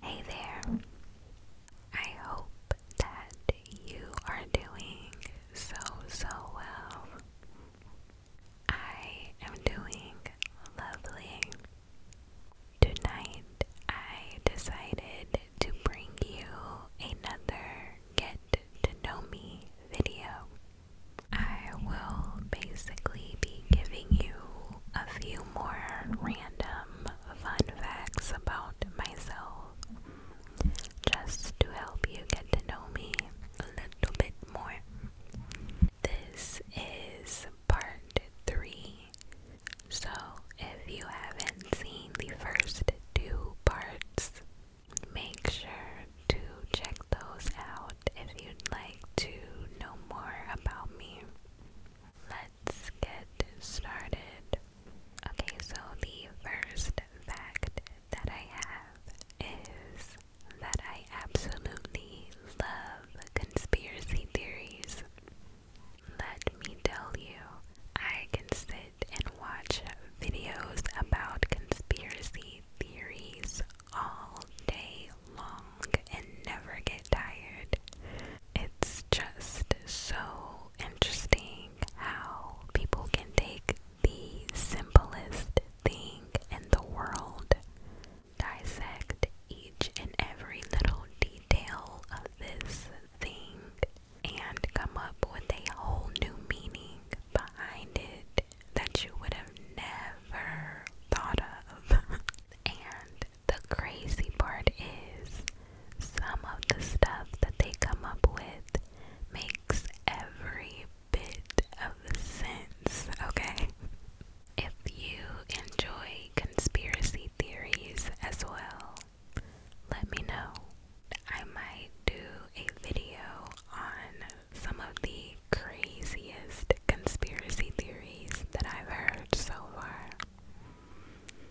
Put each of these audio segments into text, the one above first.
Hey there. I hope that you are doing so, so well. I am doing lovely. Tonight, I decided to bring you another get to know me video. I will basically be giving you a few more random fun facts about myself just to help you get to know me a little bit more. This is part 3. So, if you haven't seen the first two parts, make sure to check those out if you'd like to know more about me. Let's get started. Okay, so the first fact that I have is that I absolutely love conspiracy theories. Let me tell you, I can sit and watch videos about conspiracy theories all day long and never get tired. It's just so interesting how people can take the simplest thing in the world, dissect each and every little detail of this thing, and come up with a whole new meaning behind it that you would have never thought of. and the crazy part is, some of the stuff that they come up with makes every bit of sense, okay? If you enjoy conspiracy theories as well, let me know. I might do a video on some of the craziest conspiracy theories that I've heard so far.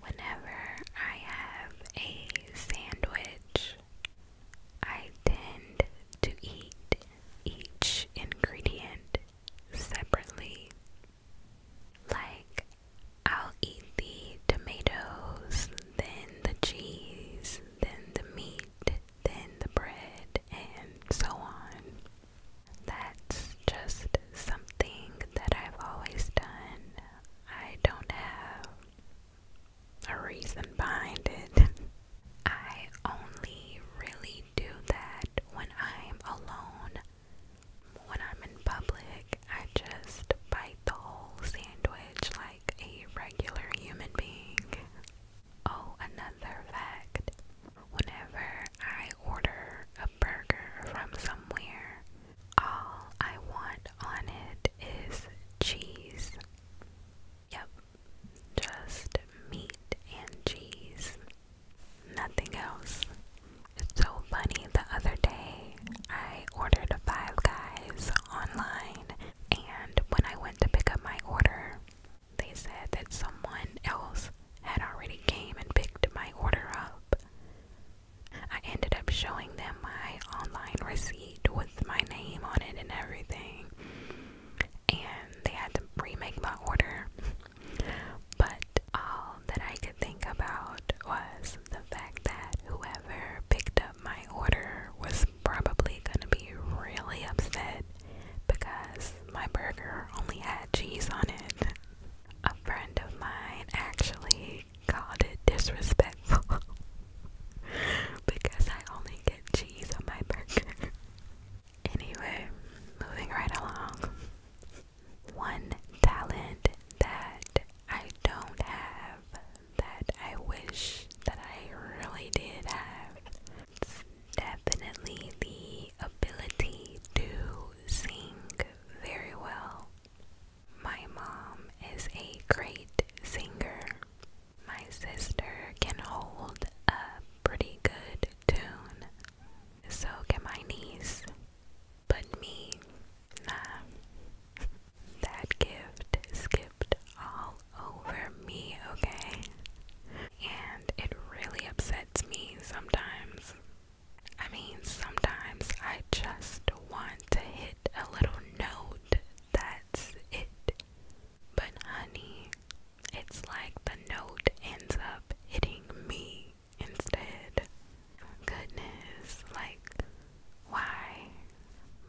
Whenever I have a sandwich, I tend to eat each ingredient separately. Like, I'll eat the tomatoes, then the cheese, then the meat, then the bread, and so on. That's just something that I've always done. I don't have a reason behind it. I only really do that when I'm alone. When I'm in public, I just bite the whole sandwich like a regular human being. Oh, another fact. Whenever I order a burger from somewhere, all I want on it is cheese. Yep, just meat and cheese. Nothing else. It's so funny. The other day, I ordered Five Guys online, and when I went to pick up my order, they said that someone else had already came and picked my order up. I ended up showing them my online receipt with my name on it and everything. And they had to remake my order. But all that I could think about was the fact that whoever picked up my order was probably going to be really upset because my burger only had cheese on it. A friend of mine actually called it disrespectful because I only get cheese on my burger. Anyway, moving right along. One talent that I don't have that I wish that I really did have definitely the ability to sing very well. My mom is a great singer. My sister can hold a pretty good tune. So can my niece. But me, nah. That gift skipped all over me, okay? And it really upsets me sometimes. I mean, sometimes I just want to hit a little note. That's it. But, honey, it's like the note ends up hitting me instead. Goodness, like, why?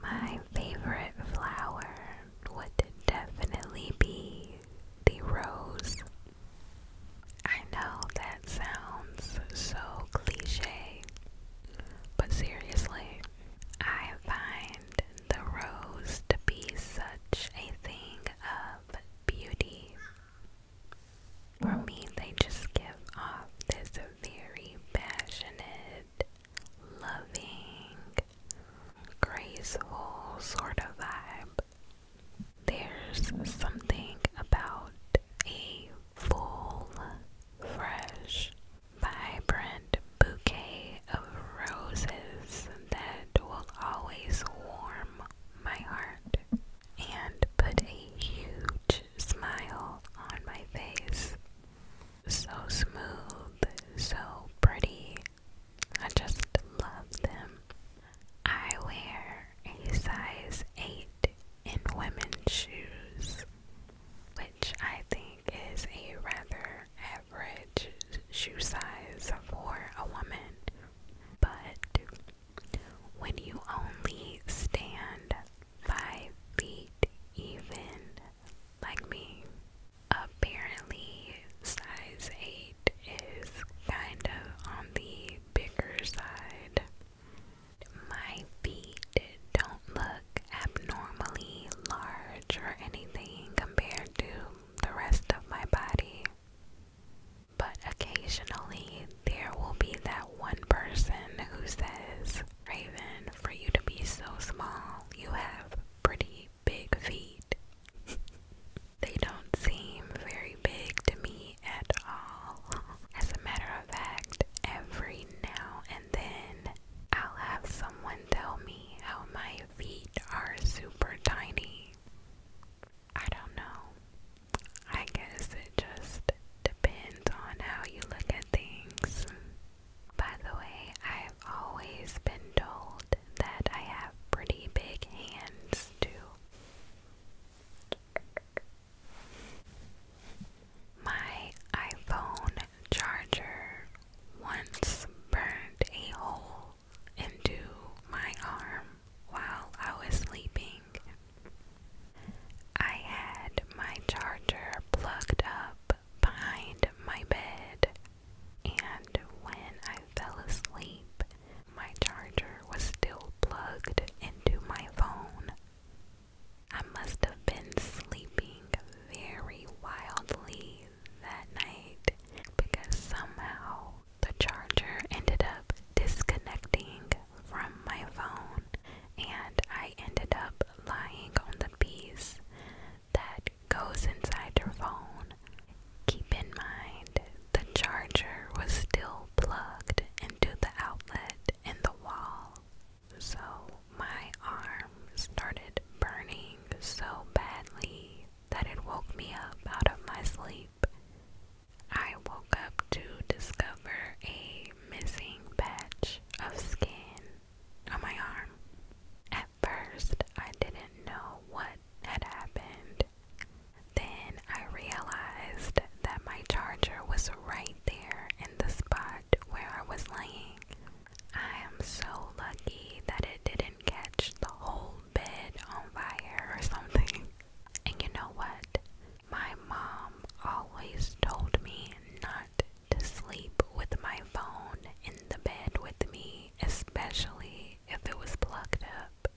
My favorite flower would definitely be the rose. I know that sounds so cliche, but seriously, I find the rose to be such a thing of beauty. For me, they just give off this very passionate loving, graceful sort of vibe. There's something about a full, fresh, vibrant bouquet of roses that will always warm my heart and put a huge smile on my face. So smooth, so pretty, I just love them. I wear a size 8 in women's shoes, which I think is a rather average shoe size for a woman. But when you only stand 5 feet even, like me. Apparently, size 8 is kind of on the bigger side. My feet don't look abnormally large or anything compared to the rest of my body. But occasionally, there will be that one person who says, Raven, for you to be so small, you have pretty big feet. they don't seem very big to me at all. As a matter of fact, every now and then I'll have someone tell me how my feet are super tiny. I don't know. I guess it just depends on how you look at things. By the way, I've always been told that I have pretty big hands, too. My iPhone charger once burned a hole into my arm while I was sleeping. I had my charger plugged up behind my bed, and when I fell asleep, my charger was still plugged into my phone. I must have been sleeping very wildly that night because somehow the charger ended up disconnecting from my phone and I ended up lying on the piece that goes inside your phone. Keep in mind the charger was still plugged into the outlet in the wall. So my arm started burning so badly that it woke me up out of my sleep. I woke up to discover a missing patch of skin on my arm. At first, I didn't know what had happened. Then I realized that my charger was right there in the spot where I was laying. I am so lucky that it didn't catch the whole bed on fire or something. And you know what? My mom always told me not to sleep with my phone in the bed with me, especially if it was plugged up.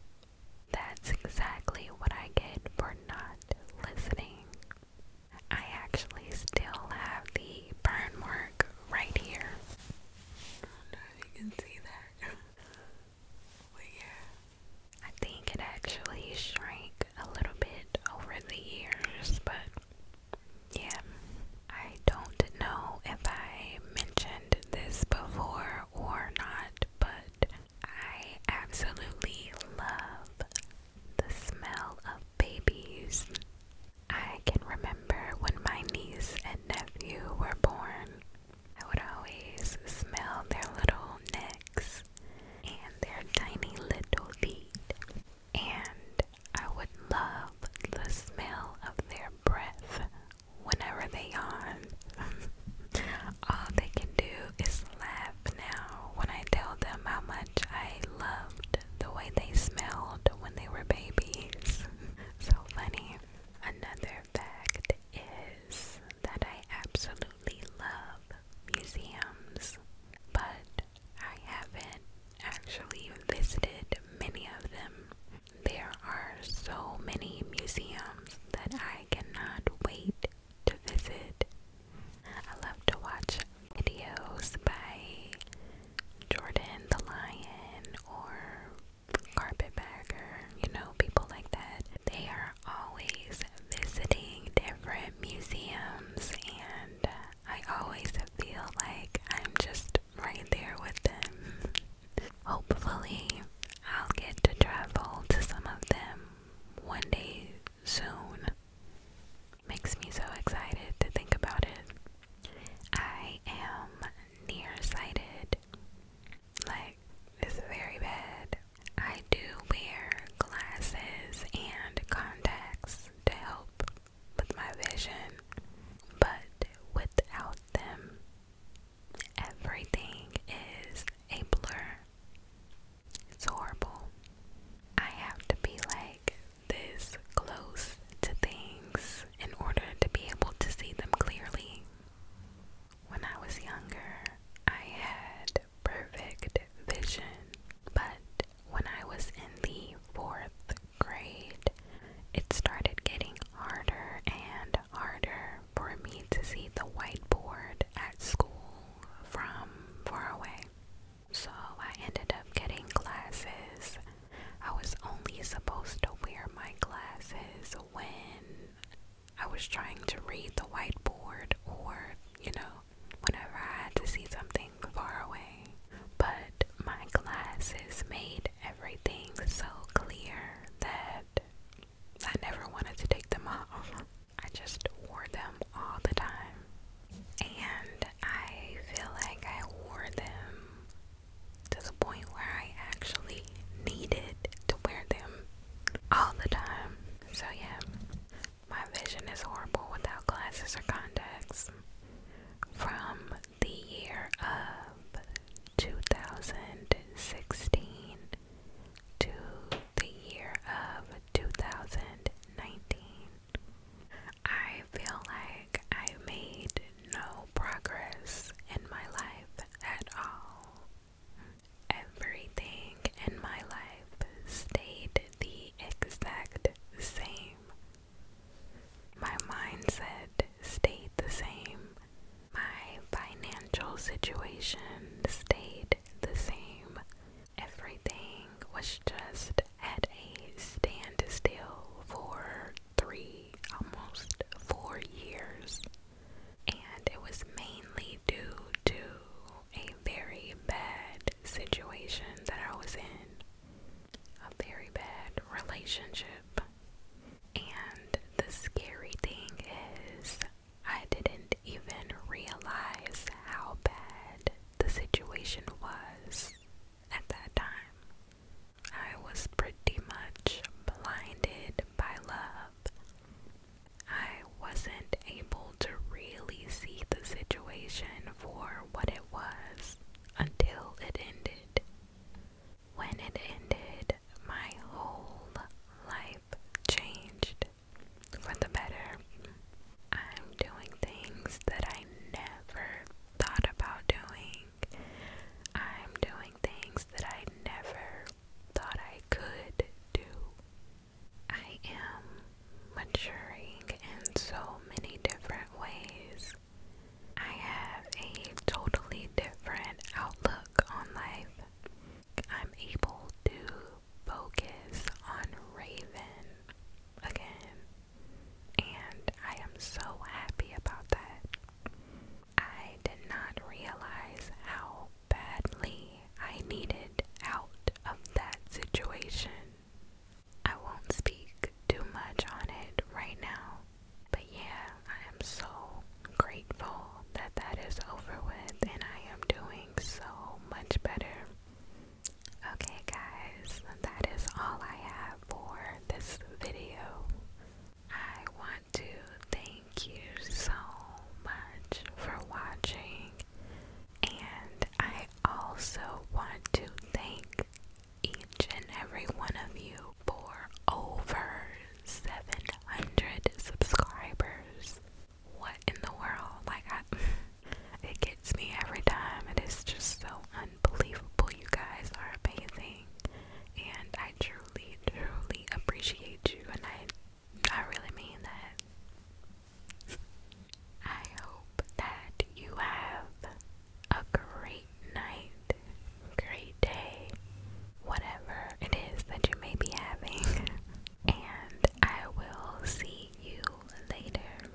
That's exactly what I get for not listening. I actually still have the burn mark right here. I don't know if you can see that. but yeah. I think it actually shrank a little bit over the years, but yeah, I don't know if I mentioned this before or not, but I absolutely love the smell of babies. I can remember when my niece and nephew were born. I would always smell their little necks and their tiny little feet and I would love the smell of their breath whenever they yawn. All they can do is laugh now when I tell them how much I loved the way they smelled when they were babies. so funny. Another fact is that I absolutely love museums, but I haven't actually visited many of them. There are so many museums that I cannot wait to visit. I love to watch videos by Jordan the Lion or Carpetbagger, you know, people like that. They are always visiting different museums and uh, I always feel like I'm just right there with them. Hopefully, I'll get to travel to some of them one day soon. Makes me so excited to think about it. I am nearsighted. Like, it's very bad. I do wear glasses and contacts to help with my vision, but without them, everything is a blur. It's horrible. I have to be like this close to things in order to be able to see them clearly. When I was younger, I had perfect vision, but when I was in the fourth grade, it started getting harder and harder for me to see the whiteboard at school from far away. So I ended up getting glasses. I was only supposed to wear my glasses when I was trying to read the whiteboard or, you know, whenever I had to see something far away. But my glasses made everything so clear that I never wanted to take them off. I just wore them all the time. And I feel like I wore them to the point where I actually needed to wear them all the time. So, yeah, my vision is horrible without glasses or contacts. From the year of 2016 to the year of 2019, I feel like I made no progress in my life at all. Everything and my life stayed the exact same. My mindset stayed the same. My financial situation stayed the same. Everything was just at a standstill for three, almost four years. And it was mainly due to a very bad situation that I was in, a very bad relationship. And the scary thing is, I didn't even realize how bad the situation was at that time. I was pretty much blinded by love. I wasn't able to really see the situation for what it was until it ended. When it ended, my whole life changed for the better. I'm doing things that I never thought about doing. I'm doing things that I never thought I could do. I am maturing in so many different ways. I have a totally different outlook on life. I'm able to focus on Raven again, and I am so happy about that. I did not realize how badly I needed out of that situation. I won't speak too much on it right now, but yeah, I am so grateful that that is over with and I am doing so much better. Okay, guys, that is all I have for this video. I want to thank you so much for watching and I also want to thank each and every one of you for over 700 subscribers. What in the world? Like, I, it gets me every time. It is just so unbelievable. You guys are amazing. And I truly, truly appreciate you. And I I really mean that. I hope that you have a great night, great day, whatever it is that you may be having, and I will see you later.